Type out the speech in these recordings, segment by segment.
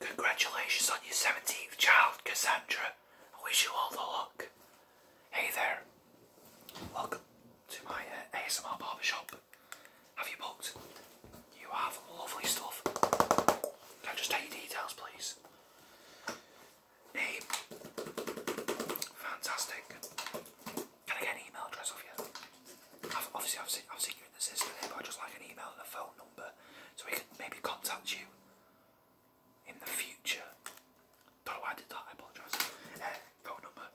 Congratulations on your 17th child, Cassandra. I wish you all the luck. Hey there. Welcome to my uh, ASMR barber shop. Have you booked? You have lovely stuff. Can I just take your details, please? Name. Fantastic. Can I get an email address off you? I've, obviously, in the system here, I just like an email and a phone number so we can maybe contact you in the future. do I did that, I apologise. Uh, phone number,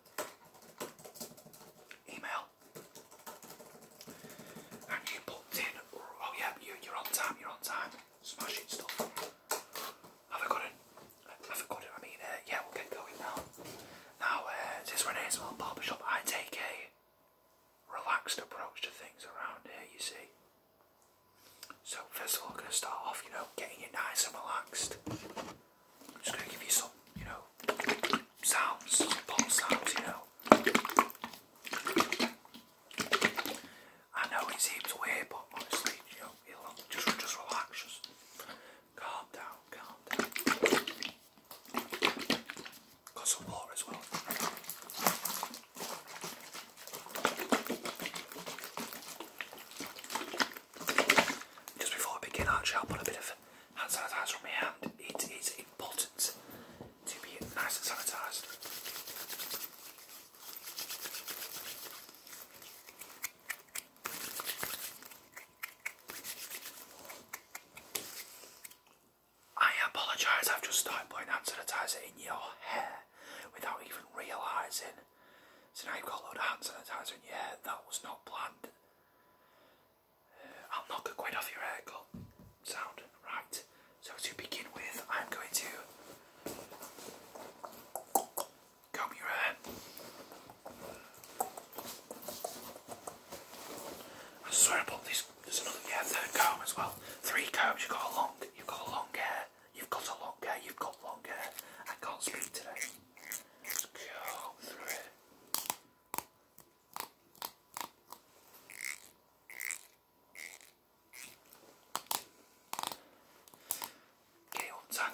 email, and you put in, oh yeah, you, are on time, you're on time, smashing stuff. Have I got it? Have I got it? I mean, uh, yeah, we'll get going now. Now, this uh, since we a small barber shop, I take a relaxed approach to things around here, you see. So, first of all, I'm going to start off, you know, getting you nice and relaxed. I'm just going to give you some, you know, sounds, some ball sounds, you know. I know it seems weird, but honestly, you know, just, just relax, just Calm down, calm down. Got some water as well. Just before I begin, I'll put a bit of hand sanitizer on It is important to be nice and sanitized. I apologise, I've just started putting hand sanitizer in your hair without even realising. So now you've got a load of hand sanitiser in your hair. That was not planned. Uh, I'll knock a quid off your haircut. Sound right. So to begin with, I'm going to comb your hair. I swear I bought this. There's another, third comb as well. Three combs. You've got a long, you've got a long hair. You've got a long hair. You've got long hair. I can't speak today. Let's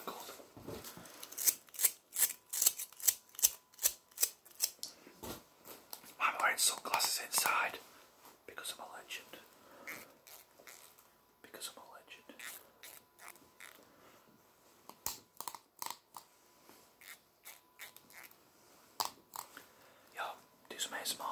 go through I'm wearing sunglasses inside because I'm a legend. Because I'm a legend. Yo, do some ASMR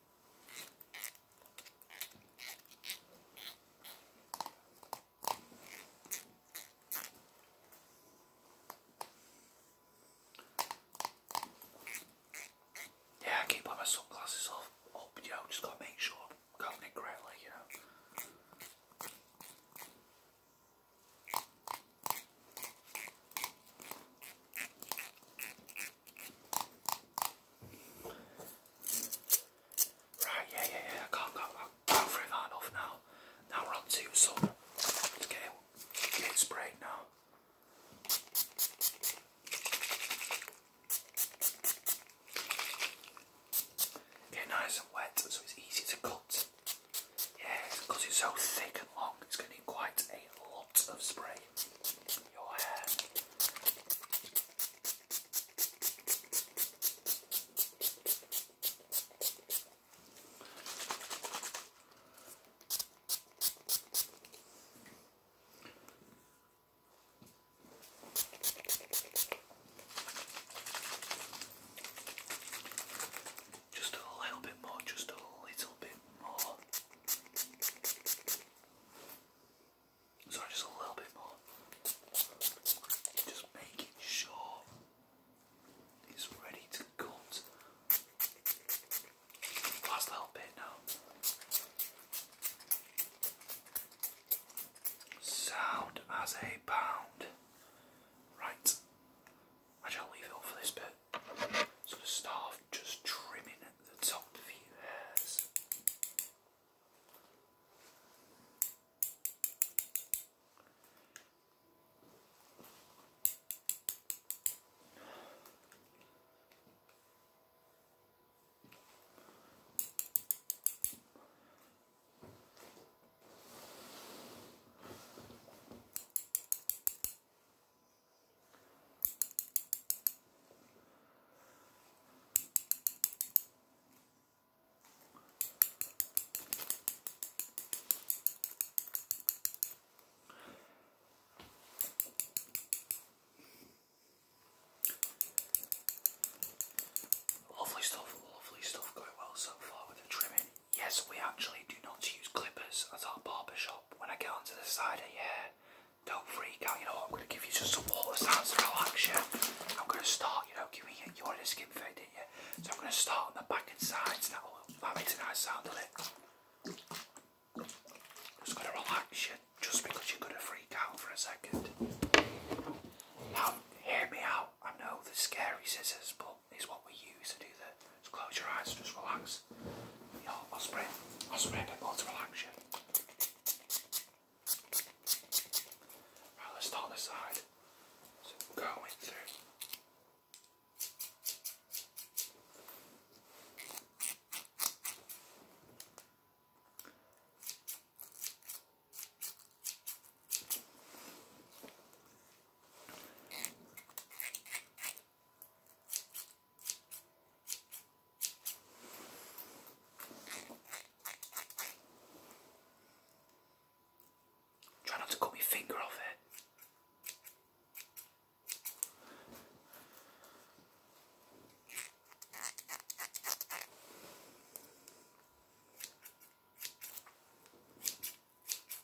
Yeah, I keep on my sunglasses off up, you know, just gotta make sure I'm counting it correctly, you know. Right, yeah, yeah, yeah. I can't go. I'll go that enough now. Now we're on to some. let get sprayed now. Get nice and wet so it's easy to cut. Yeah, it's so thick and long, it's going quite a lot of spray in your hair. Just a little bit more, just a little bit more. Sorry, just a little bit more. Just making sure it's ready to cut. Last little bit now. Sound as a pound. Right. Actually, I'll leave it on for this bit. So to start just trimming the top of hairs. Lovely stuff, lovely stuff, going well so far with the trimming. Yes, we actually do not use clippers at our barber shop. When I get onto the side of your hair, don't freak out. You know I'm going to give you just some water sounds to relax you. I'm going to start, you know, giving you, you already skin fade, didn't you? So I'm going to start on the back and sides. That, that makes a nice sound, doesn't it? Just going to relax you just because you're going to freak out for a second. Now, hear me out. I know the scary scissors, but is what we use to do that. Just close your eyes just relax. Yeah, I'll spray. I'll spray a bit more to relax you. Right, let's start this side. So going through. Try not to cut my finger off it.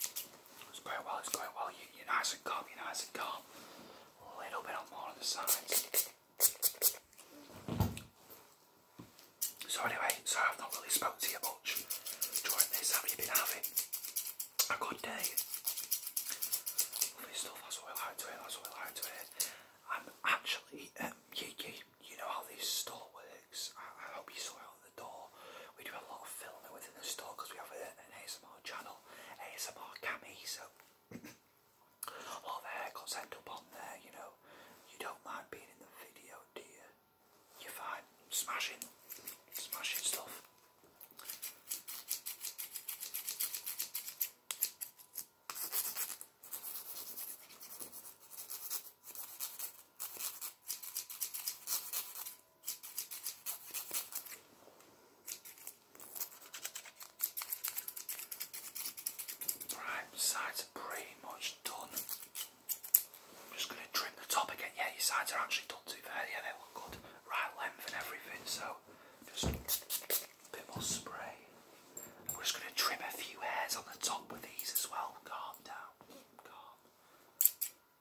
It's going well, it's going well. You, are nice and calm, you're nice and calm. A little bit more on the sides. So anyway, sorry I've not really spoken to you much during this. Have you been having a good day? Lovely stuff, that's what we like to hear, that's what we like to hear. I'm actually, um, you, know how this store works. I, hope you saw it on we do a lot of filming within the store because we have an ASMR channel, ASMR Cami, so a lot of haircuts up on there, you know. You don't mind being in the video, do you? You find smashing, smashing stuff. Right, sides are pretty much done. I'm just going to trim the top again. Yeah, your sides are actually done too fair. Yeah, they look good. Right length and everything, so just a bit more spray. we're just going to trim a few hairs on the top with these as well. Calm down. Calm.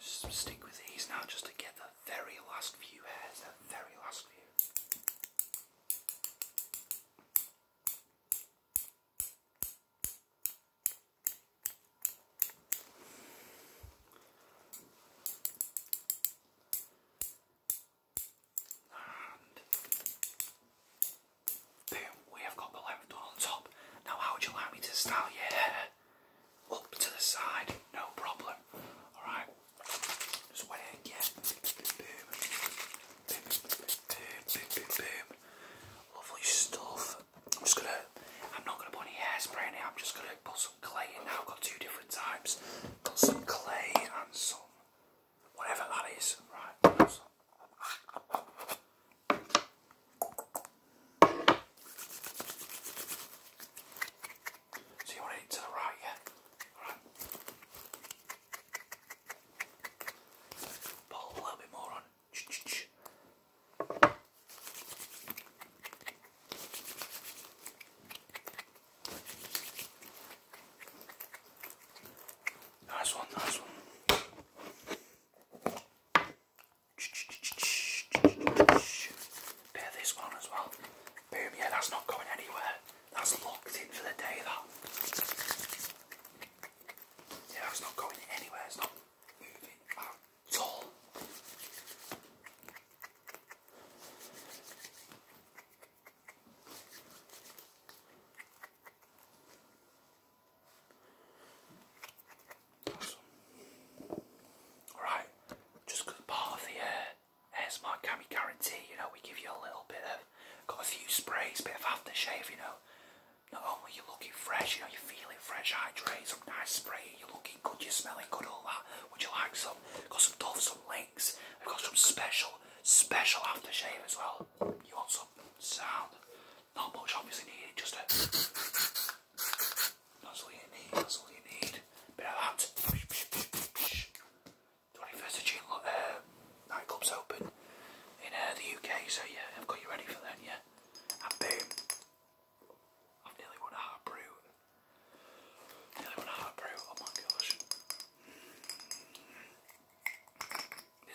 S stick with these now just to get the very last few hairs, the very last few. And boom, we have got the left on top. Now, how would you like me to style your hair? up to the side, no problem. Alright, just wet it again. Boom, boom, boom, boom, boom, boom. Lovely stuff. I'm just gonna, I'm not gonna put any hairspray in it, I'm just gonna put some clay in now. I've got two different types. Got some clay and some whatever that is. Right, so you want it to the right, yeah? Alright. Pull a little bit more on. Ch one, That's one. Bear this one as well. Boom, yeah, that's not going anywhere. That's locked in for the day, that. Yeah, that's not going anywhere. It's not moving at all. Awesome. Alright, just because part of the uh, Cami guarantee, you know, we give you a little bit of, got a few sprays, bit of aftershave, you know. Not only you're looking fresh, you know, you're feeling fresh, hydrate, some nice spray, you're looking good, you're smelling good, all that. Would you like some? got some Dove, some links. I've got some special, special aftershave as well. You want some sound? Not much obviously needed, just a that's all you need, that's all you need. Bit of that. 21st of June uh, nightclubs open in uh, the UK, so yeah, I've got you ready for that. yeah. And boom. i nearly won a hard brew. Nearly won a hard brew, oh my gosh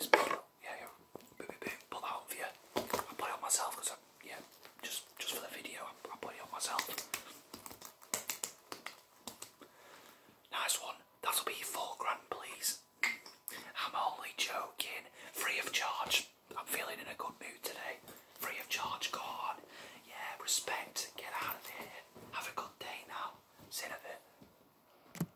yeah, yeah, boom, boom, put that on for I put it on myself because yeah, just just for the video, I, put it on myself. Nice one. That'll be four grand, please. I'm only joking. Free of charge. I'm feeling in a good mood today. Free of charge, go Yeah, respect. Get out of here. Have a good day now. See you in